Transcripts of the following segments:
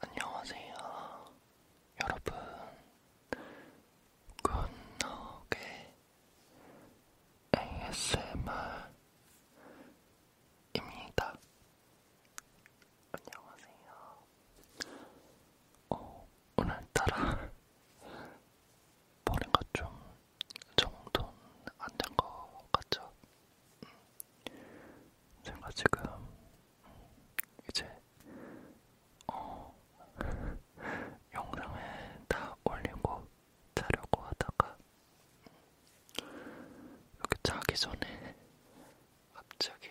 안녕하세요, 여러분. 굿노게 ASMR입니다. 안녕하세요. 어, 오늘따라 머리가 좀 정돈 안 된 것 같죠? 제가 지금 이제 어 영상을 다 올리고 자려고 하다가 이렇게 자기 전에 갑자기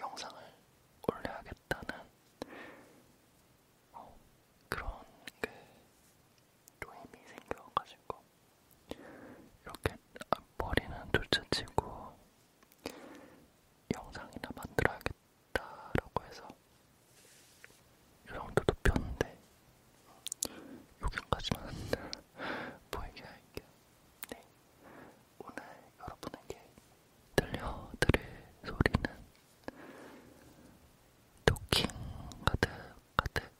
영상을 올려야겠다는 어, 그런 그 도움이 생겨가지고 이렇게 머리는 둘째치고 영상이나 만들어야겠다라고 해서 이 정도 높였는데 여기까지만 보이게 할게요. 네. 오늘 여러분에게 들려드릴 소리는 토킹 가득 가득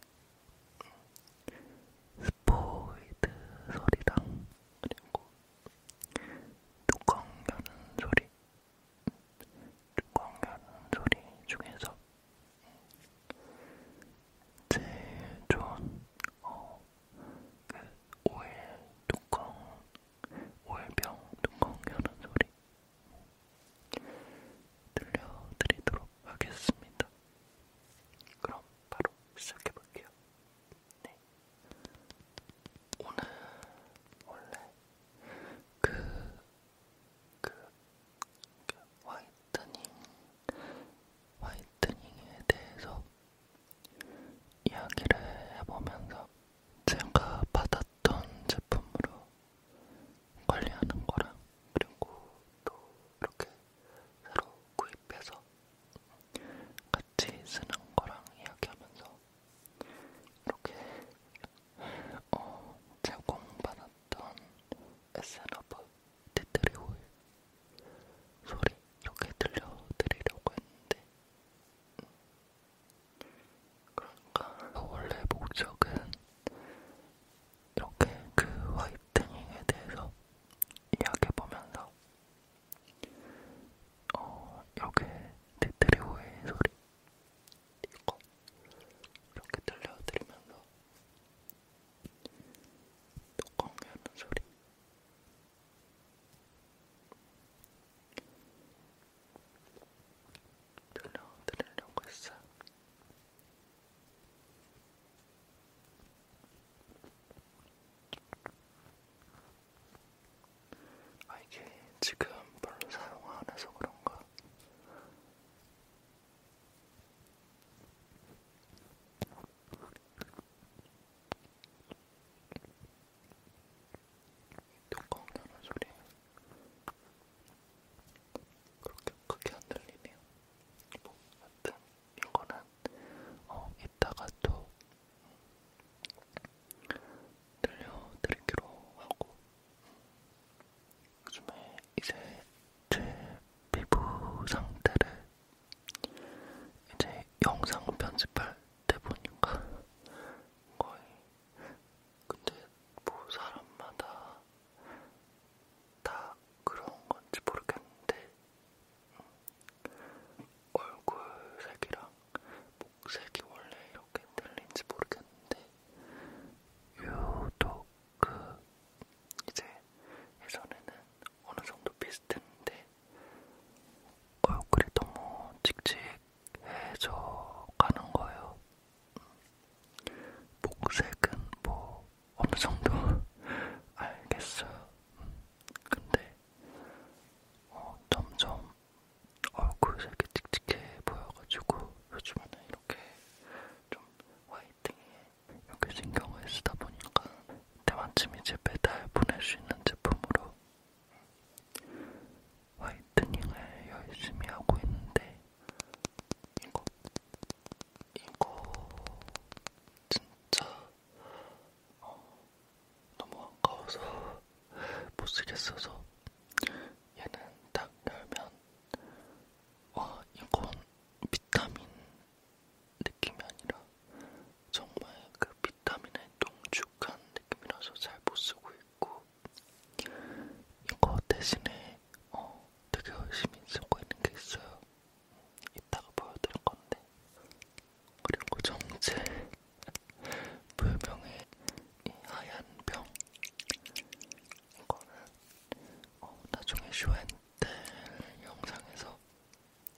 스포이드 소리랑 그리고 뚜껑 여는 소리 뚜껑 여는 소리 중에서 제일 좋은 어, 그 오일 뚜껑 오일병 뚜껑 여는 소리 들려드리도록 하겠습니다. 그럼 바로 시작해볼게요. 네. 오늘 원래 그, 그, 그 화이트닝, 화이트닝에 대해서 이야기를 해보면서 제가 받았던 제품으로 관리하는 거랑 그리고 또 이렇게 새로 구입해서 같이 쓰는 거랑 이야기하면서 이렇게 어, 제공받았던 에센어브 티트리 오일 소리 이렇게 들려드리려고 했는데 음. 그러니까 원래 목적은 이렇게 그 화이트닝에 대해서 이야기해보면서 어, 이렇게 디트리오의 소리 이거 이렇게 들려드리면서 뚜껑 여는 소리 들려드리려고 했어요. 아 이게 지금 별로 사용 안 해서 그런가? 뚜껑 나는 소리 그렇게 크게 안 들리네요. 뭐, 하여튼 이거는 어, 이따가 또 들려드리기로 하고 요즘에 이제 제 피부 상태를 이제 영상 편집할 때 보니까 거의 근데 뭐 사람마다 다 그런 건지 모르겠는데 음, 얼굴색이랑 목색이 원래 이렇게 들린지 모르겠는데 유독 그 이제 예전에는 어느 정도 비슷했는데 얼굴이 너무 칙칙해져 가는 거예요. 음, 목색은 뭐 어느 정도 알겠어요. 근데 어, 점점 얼굴이 이렇게 칙칙해 보여가지고 요즘에는 이렇게 좀 화이팅에 이렇게 신경을 쓰다 보니까 때마침 이제 매달 보낼 수 있는 제품으로 화이트닝을 열심히 하고 있는데 이거 이거 진짜 어, 너무 아까워서 못 쓰겠어서 얘는 딱 열면 와 이건 비타민 느낌이 아니라 정말 그 비타민의 농축한 느낌이라서 잘 못 쓰고 있고 이거 대신에 어 되게 열심히 쓰고 있는 게 있어요. 이따가 보여드릴 건데. 그리고 정체 불명의 이 하얀 병. 이거는 어, 나중에 쇼앤텔 영상에서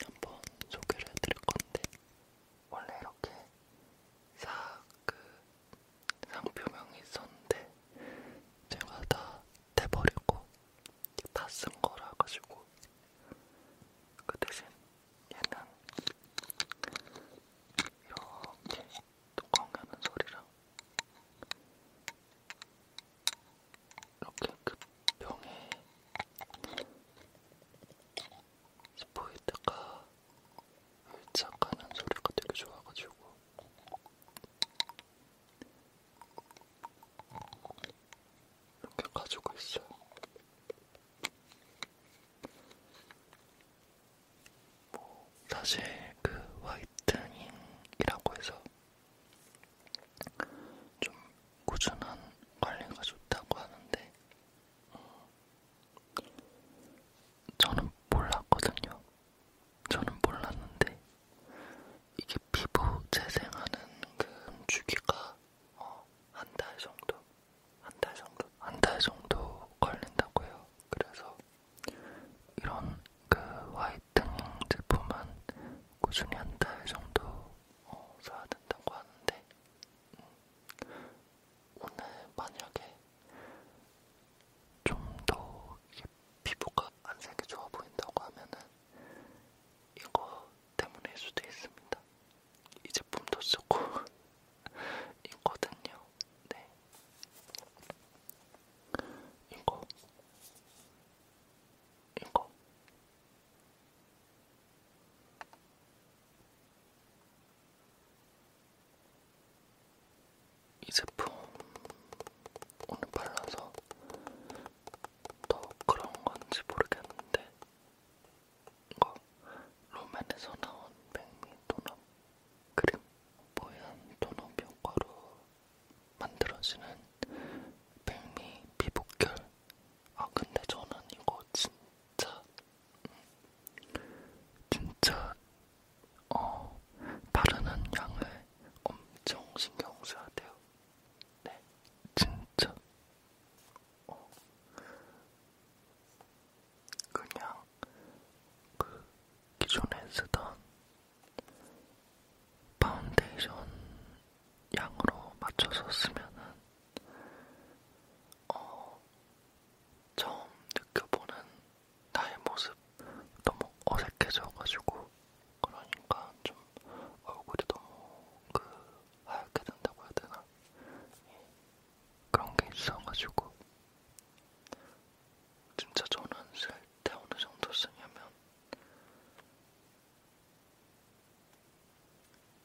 한번 소개를 해드릴 건데 원래 이렇게 싹그 상표명이 있었는데 제가 다 떼버리고 다 쓴 거라 가지고 그 대신 얘는 이렇게 뚜껑 여는 소리랑 이렇게 그 병에 스포이트가 흘짝하는 소리가 되게 좋아가지고 이렇게 가지고 있어요. 뭐 사실 그 화이트닝이라고 해서 좀 꾸준한 관리가 좋다고 하는데 음, 저는 몰랐거든요. 저는 몰랐는데 이게 피부 재생하는 그 주기가 어, 한 달 정도, 한 달 정도, 한 달 정도 걸린다고 해요. 그래서 이런 그 화이트닝 제품은 꾸준히 한 달 정도 어, 써야 된다고 하는데 음, 오늘 만약에 좀더 이게 이렇게 피부가 안 색이 좋아 보인다고 하면은 이거 때문일 수도 있습니다. 이 제품도 쓰고 있거든요. 네. 이거. 이거. 이 제품 오늘 발라서 더 그런 건지 모르겠는데 이거 로맨에서 나온 백미 톤업 크림 뽀얀 톤업 효과로 만들어지는 백미 피부결 아 근데 저는 이거 진짜 음, 진짜 어, 바르는 양을 엄청 신경 써야 돼요. 네, 진짜. 어, 그냥 그 기존에 쓰던 파운데이션 양으로 맞춰서 쓰면은 어, 처음 느껴보는 나의 모습 너무 어색해져가지고 그러니까 좀 얼굴이 너무 그 하얗게 된다고 해야 되나 예. 그런 게 있어가지고 진짜 저는 쓸때 어느 정도 쓰냐면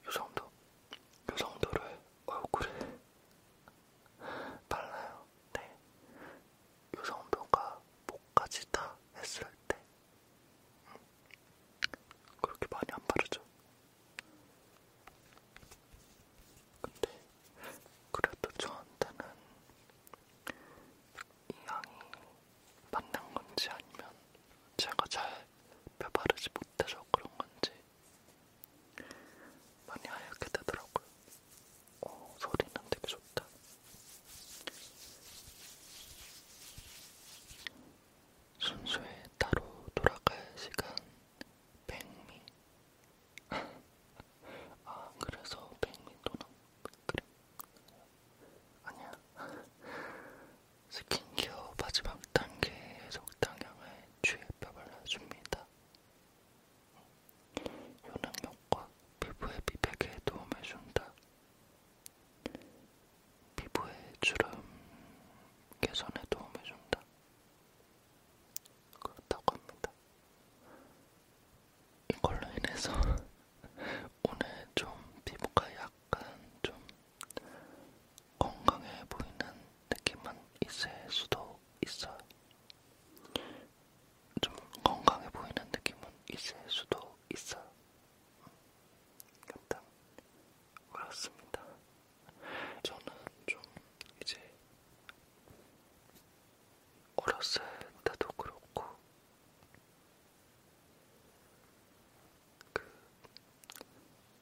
요 정도? 요 정도를 얼굴에 달라요. 네. 유성병과 목까지 다 했을 때 음. 그렇게 많이 안 바르죠. 근데 그래도 저한테는 이 향이 맞는 건지 아니면 제가 잘 펴바르지 못해서 그런 건지 많이 하얗게 되더라고요. 어, 소리는 되게 좋다. 순수에 따로 돌아갈 시간 백미. 아 그래서 백미 도넛 그래. 아니야. 스킨케어 마지막 단계에 적당량을 주에 펴발라줍니다. 효능력과 피부의 미백에 도움을 준다. 피부의 주름 개선에 도움을 준다. 그렇다고 합니다. 이걸로 인해서 오늘 좀 피부가 약간 좀 건강해 보이는 느낌은 있을 수도 있어요. 좀 건강해 보이는 느낌은 있을 수도 있어요. 일단 그렇습니다. 저는 좀 이제 어렸을 때도 그렇고 그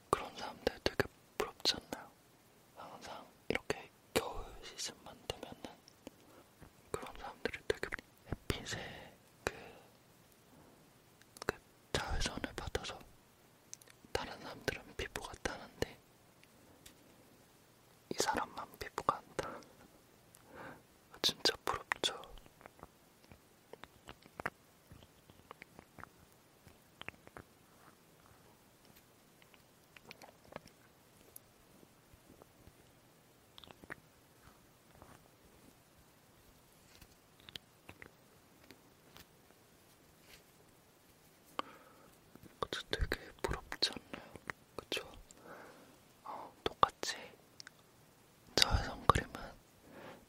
그런 사람들 되게 부럽지 않나요? 항상 이렇게 겨울 시즌만 되면은 그런 사람들이 되게 햇빛에 그, 그 자외선을 받아서 다른 사람들은 피부가 타는데 이 사람만 피부가 안 타. 진짜 부럽죠. 그것도 되게 부럽지 않나요? 그쵸? 어, 똑같이 저의 선크림은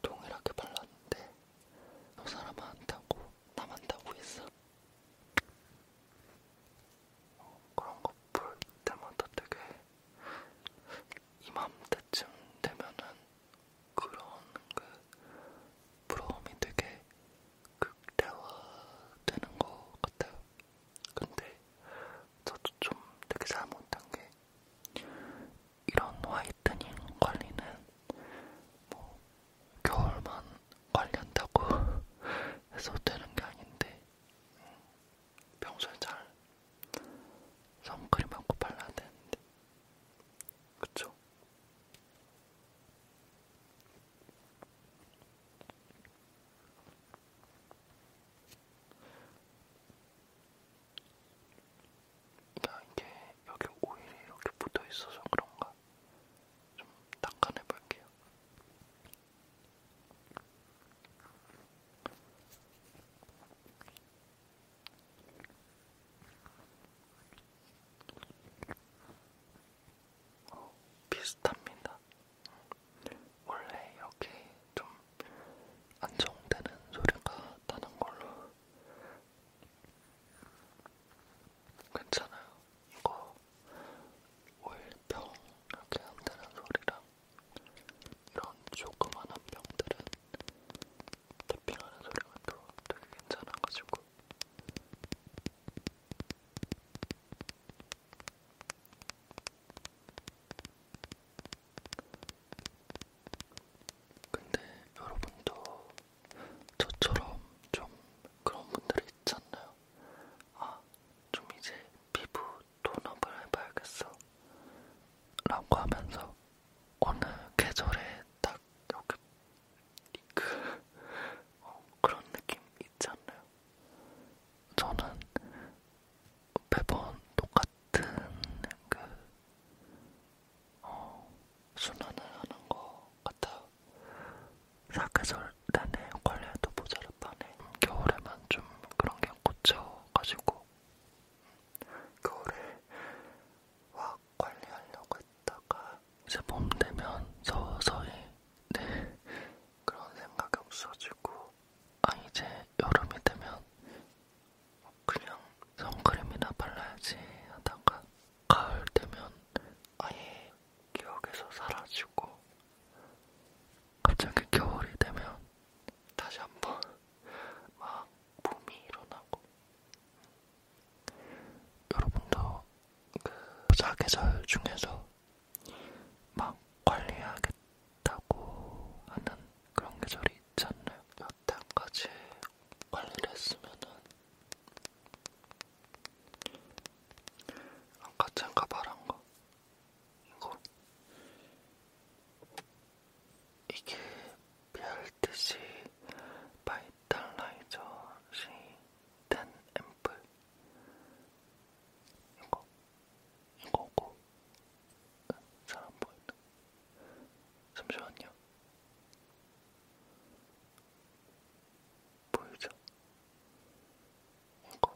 동일하게 발랐는데 저 사람한테 하고 남한다고 했어. 어, 그런 거 볼 때마다 되게 이맘때쯤 되면은 그런 그 부러움이 되게 극대화되는 것 같아요. 근데 저도 좀 되게 잘못한 게 이런 화이트닝 관리는 뭐 겨울만 관리한다고 해서 되는 게 아닌데 음, 평소에 잘 선크림 하고 발라야 되는데 그쵸? 그러니까 이게 여기 오일이 이렇게 붙어 있어서 그런가 제가 좀 닦아내 볼게요. 어, 비슷합니다. 원래 이렇게 좀 안정되는 소리가 나는 걸로 괜찮아요. 이거 오일병 이렇게 한다는 소리랑 이런 조그만한 병들은 탭핑하는 소리가 또 되게 괜찮아가지고 근데 여러분도 저처럼 좀 그런 분들이 있지 않나요? 아, 좀 이제 피부 톤업을 해봐야겠어. 라고 하면서 어느 계절에 딱 여기 그 어, 그런 느낌 있지 않나요? 저는 매번 똑같은 그 어, 순환을 하는 것 같아요. 사계절 내내 관리해도 모자르다네. 겨울에만 좀 그런 게 꽂혀가지고 겨울에 확 관리하려고 했다가 이제 봄 되면 서서히 네 그런 생각이 없어지고 아 이제 여름이 되면 그냥 선크림이나 발라야지 하다가 가을 되면 아예 기억에서 사라지고 갑자기 겨울이 되면 다시 한번 막 붐이 일어나고 여러분도 그 사계절 중에서 막 관리하겠다고 하는 그런 계절이 있지 않나요? 여태까지 관리를 했으면은 아까 잠깐 말한 거 이거 이게 BRTC 바이탈라이저 C10 앰플 이거 이거고 잘안 보인다 잠시만요 보이죠? 이거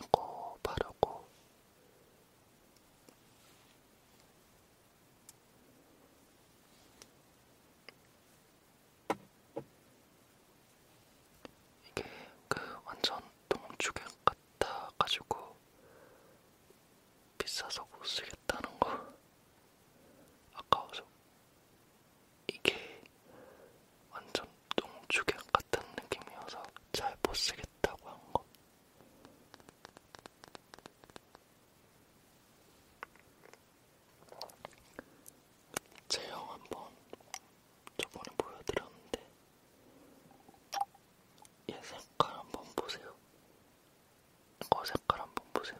이거 바르고 이게 그 완전 동주경 같아가지고 비싸서 못 쓰겠다는 거 아까워서 이게 완전 똥주객 같은 느낌이어서 잘 못쓰겠다고 한거 제형 한번 저번에 보여드렸는데 얘 색깔 한번 보세요 이거 색깔 한번 보세요.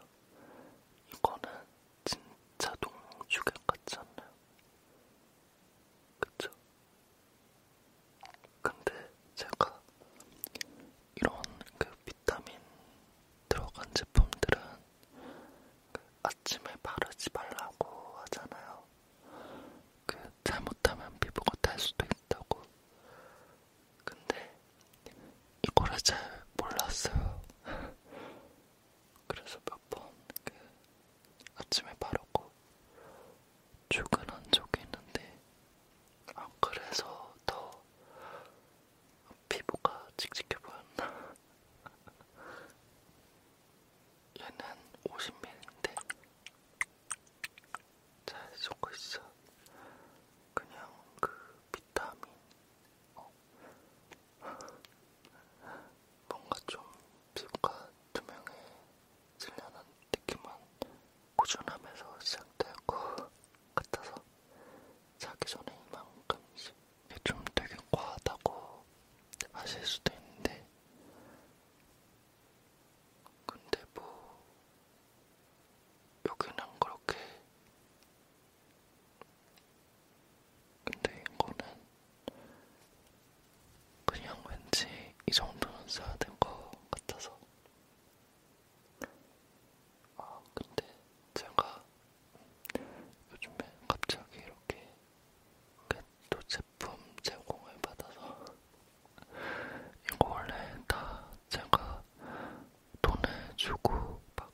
이거는 진짜 동주객 같지 않나요? 그쵸? 근데 제가 이런 그 비타민 들어간 제품들은 그 아침에 바르지 말라고 하잖아요. 그 잘못하면 피부가 탈 수도 있다고. 근데 이거를 잘 몰랐어요. 그래서 몇번그 아침에 바르고 출근한 적이 있는데 아 그래서 더 피부가 칙칙해 보였나? 얘는 50ml인데 잘 섞고 있어. 그냥 그 비타민. 어. 뭔가 좀 피부가 투명해질려는 느낌만 꾸준하면서 시작될 것 같아서 자기 전에 이만큼씩 이게 좀 되게 과하다고 하실 수도 있는데 근데 뭐 여기는 그렇게 근데 이거는 그냥 왠지 이 정도는 써야 될것 같아서 아 근데 제가 요즘에 갑자기 이렇게 또 제품 제공을 받아서 이거 원래 다 제가 돈을 주고 막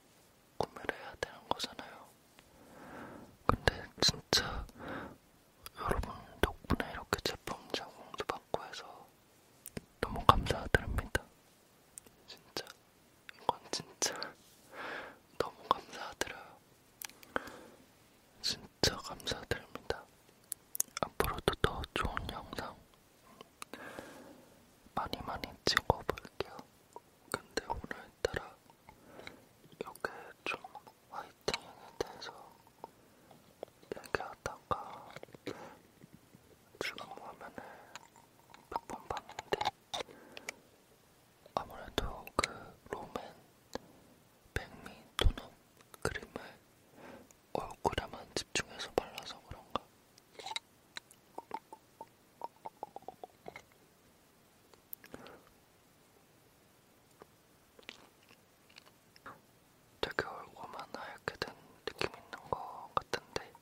구매를 해야 되는 거잖아요. 근데 진짜 여러분 덕분에 이렇게 제품 제공도 받고 해서 너무 감사드립니다. 진짜 이건 진짜 너무 감사드려요. 진짜 감사드립니다. 앞으로도 더 좋은 영상 많이 많이 찍어볼게요. 근데 오늘따라 이렇게 좀 화이팅에 대해서 얘기하다가 지금 화면을 몇번 봤는데 아무래도 그 롬앤 백미 톤업 그림을 얼굴에만 집중해서 발라서 그런가? 되게 얼굴만 하얗게 된 느낌 있는 것 같은데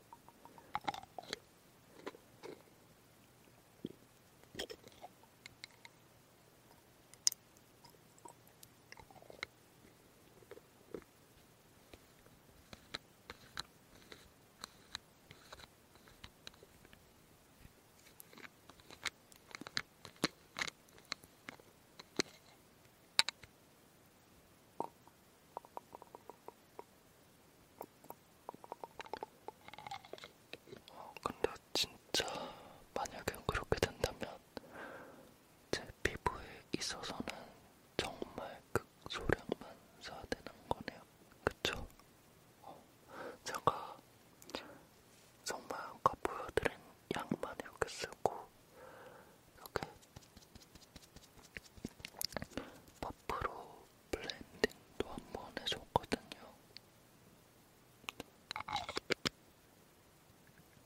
근데 진짜 만약에 그렇게 된다면 제 피부에 있어서는 정말 극소량만 써야 되는 거네요. 그쵸? 어, 제가 정말 아까 보여드린 양만 이렇게 쓰고 이렇게 퍼프로 블렌딩도 한 번 해줬거든요.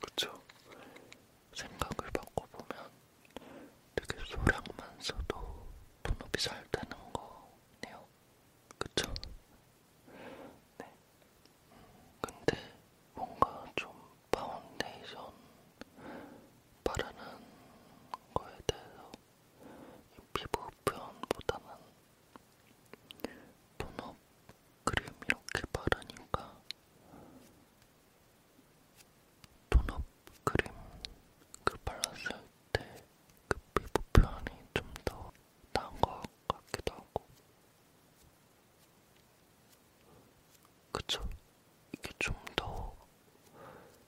그쵸? 생각을 바꿔보면 되게 소량만 써도 본업이 잘 되는 거네요. 그쵸? 네. 근데 뭔가 좀 파운데이션 바르는 거에 대해서 피부 표현보다는 본업 크림 이렇게 바르니까 톤업 크림 그 발랐을 때그 피부 표현이 좀더 나은 것 같기도 하고 그쵸? 이게 좀 더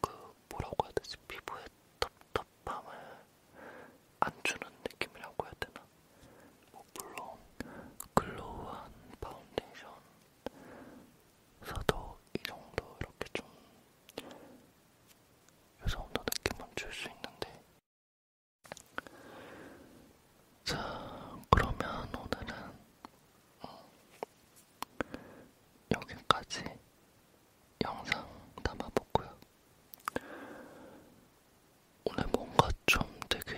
그 뭐라고 해야 되지? 피부에 텁텁함을 안 주는 느낌이라고 해야 되나? 뭐 물론 글로우한 파운데이션 써도 이 정도 이렇게 좀 요 정도 느낌은 줄 수 있는데 자 그러면 오늘은 음, 여기까지 영상 담아보고요. 오늘 뭔가 좀 되게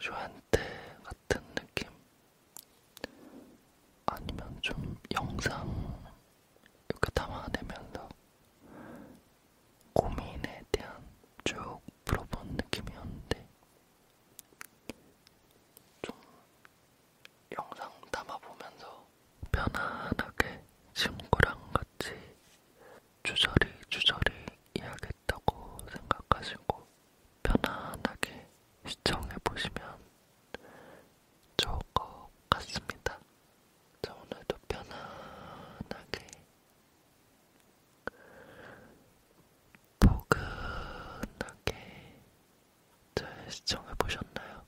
저한테 같은 느낌? 아니면 좀 영상 이렇게 담아내면서 고민에 대한 쭉 풀어본 느낌이었는데 좀 영상 담아보면서 편안하게 친구랑 같이 주저리 주저리 이야기 있다고 생각하시고 편안하게 시청해 보시면 좋을 것 같습니다. 자, 오늘도 편안하게 포근하게 잘 시청해 보셨나요?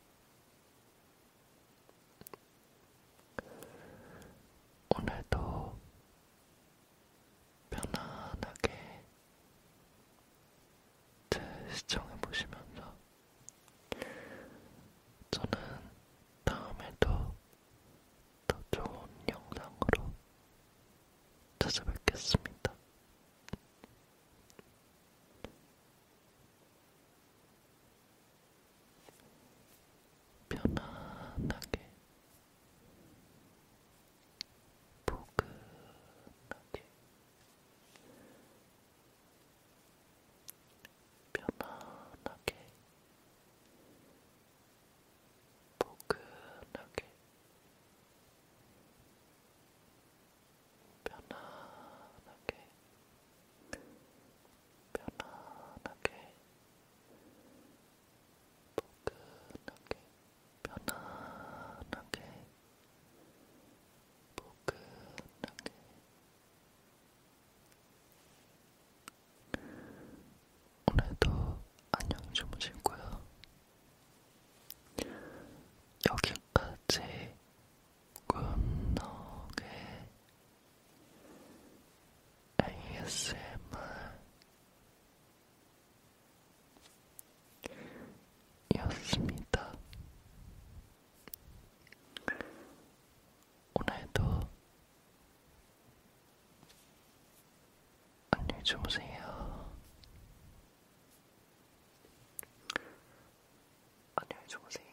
오늘도 편안하게 제 시청해 보시면서 저는 다음에도 더 좋은 영상으로 찾아뵙겠습니다. 편안하게 포근하게 편안하게 포근하게 편안하게 편안하게, 포근하게, 편안하게, 포근하게. 오늘도 안녕 주무시고요. 여기까지 굿노의 ASMR였습니다. 오늘도 안녕히 주무세요. 안녕히 주무세요.